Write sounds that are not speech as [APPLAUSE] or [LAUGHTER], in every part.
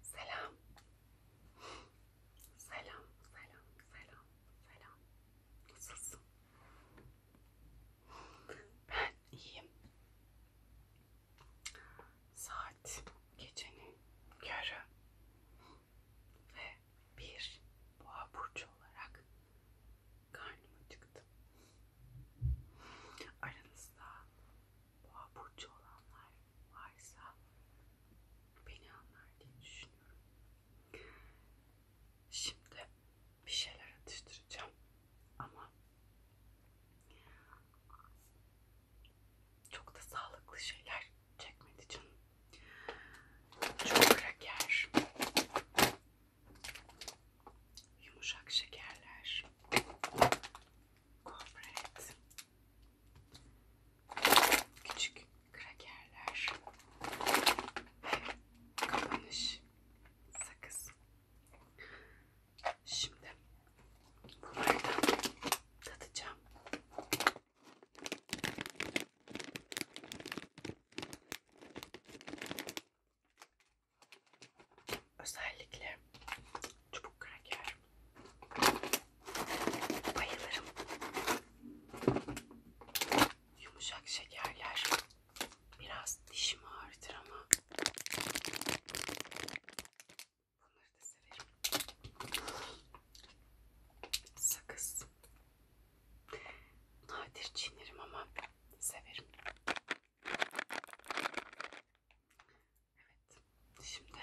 Selam. Selam, selam, selam, selam. Nasılsın? Ben iyiyim. Saat gecenin yarı ve bir boğa burcu olarak karnım acıktı. Aranızda boğa burcu olanlar varsa beni anlar diye düşünüyorum. Şimdi bir şeyler atıştıracağım ama çok da sağlıklı şeyler çekmedi canım. Çok kraker, yumuşak şekerler, Corporate. Küçük krakerler. Kapanış. Sakız. Şimdi bunları da tadacağım. Özellikle çubuk kraker. Bayılırım. Yumuşak şekerler. Biraz dişimi ağrıtır ama bunları da severim. Sakız. Nadir çiğnerim ama severim. Evet. Şimdi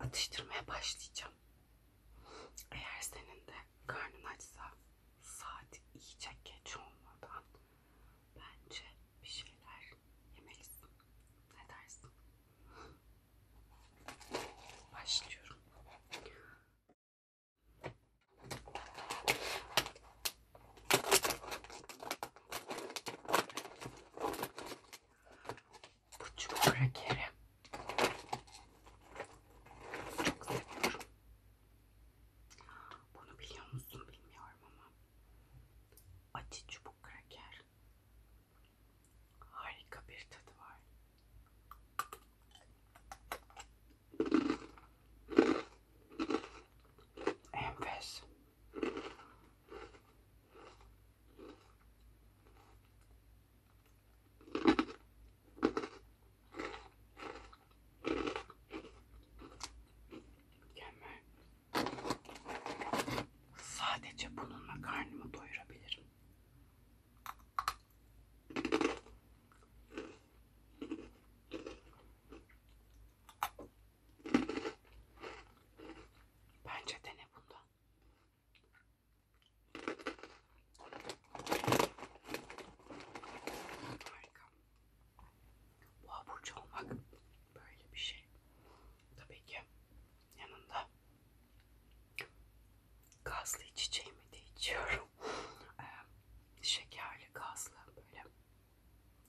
atıştırmaya başlayacağım. Eğer senin de karnın açsa saat iyice geç olmadan bence bir şeyler yemelisin. Ne dersin? Başlıyorum. Buçuk krakeri. Çok seviyorum. Bunu biliyor musun bilmiyorum ama. Acı çubuk kraker. Harika bir tadı var. Enfes. Mükemmel. Sadece bununla karnımı doyurabilirim. Bence dene bundan. Harika. Bu aburcu olmak böyle bir şey. Tabii ki yanında gazlı içeceğimi de içiyorum. [LAUGHS] Şekerli, gazlı böyle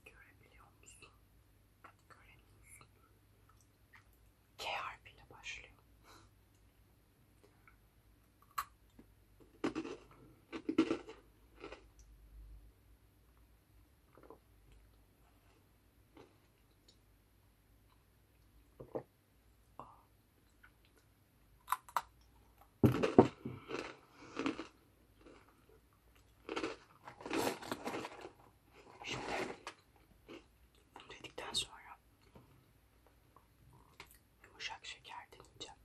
Görebiliyor musun? Göremiyorsun. K harfiyle başlıyor. Şimdi dedikten sonra yumuşak şeker deneyeceğim.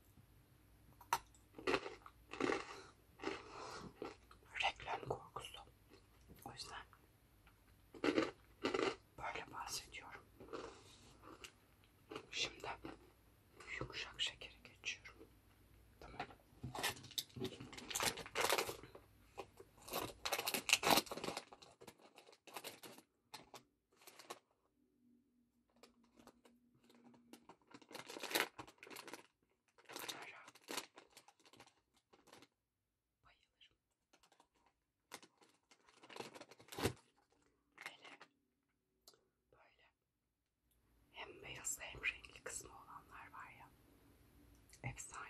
Reklam korkusu. O yüzden böyle bahsediyorum. Şimdi yumuşak şekeri geçiyorum. Tamam. Bayılırım. Böyle, böyle hem beyazlı hem renkli kısmı olanlar var ya. Efsane.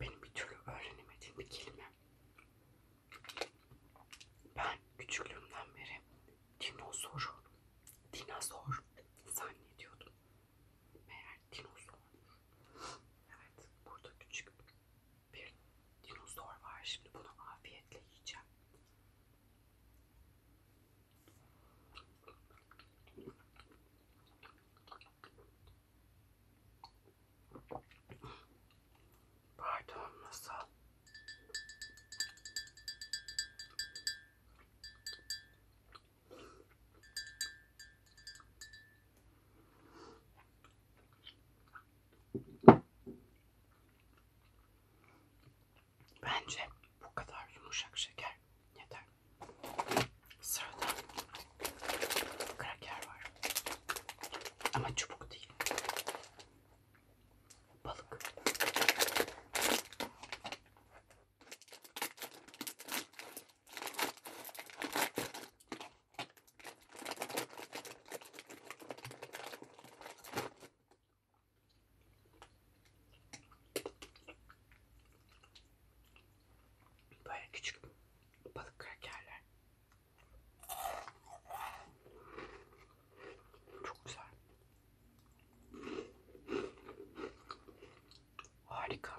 benim bir türlü öğrenemediğim bir kelime. Ben küçüklüğümden beri dinozoru, dinozor zannediyordum. Meğer dinozor. Evet, burada küçük bir dinozor var. Şimdi bunu afiyetle yiyeceğim. Pardon masal. Bence bu kadar yumuşak şeker yeter. Sırada kraker var. Ama çubuk değil. Balık. Böyle küçük balık krakerler. Çok güzel. Harika.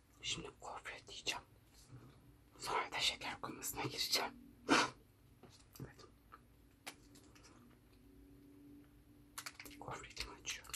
Şimdi gofret yiyeceğim. Sonra da şeker komasına gireceğim. evet. [LAUGHS] Gofretimi açıyorum.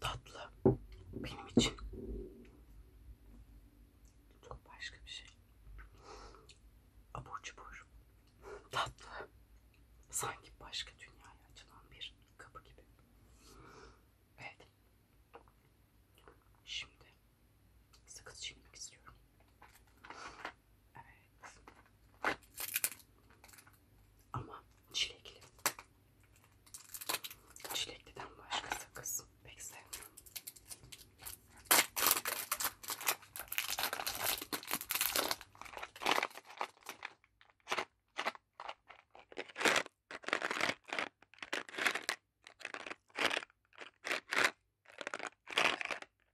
Tatlı benim için çok başka bir şey. Abur cubur. Tatlı. Sanki başka dünyaya açılan bir kapı gibi. Evet. Şimdi sakız çekmek istiyorum. Evet. Ama çilekli. Çilekliden başka sakız pek sevmiyorum.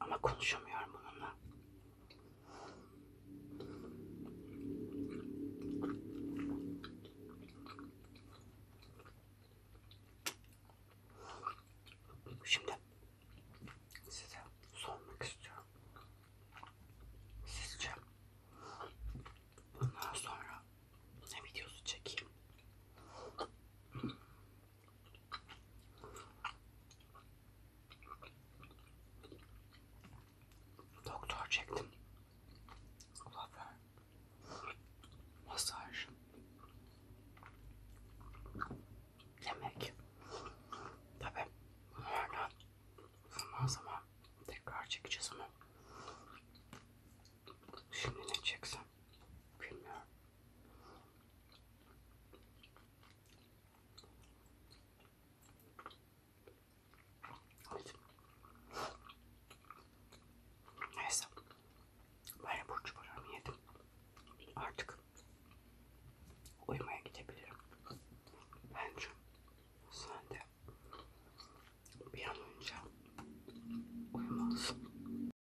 Ama konuşamıyorum bununla. Şimdi size sormak istiyorum. Sizce bundan sonra ne videosu çekeyim? Doktor çektim. Kulaklar. Masaj. Yemek. Tabi bunlarla zaman zaman tekrar çekeceğiz ama şimdi ne çeksem bilmiyorum. Neyse. Böyle burç buramı yedim. Artık uyumaya gidebilirim. Bence sen de bir an önce uyumalısın.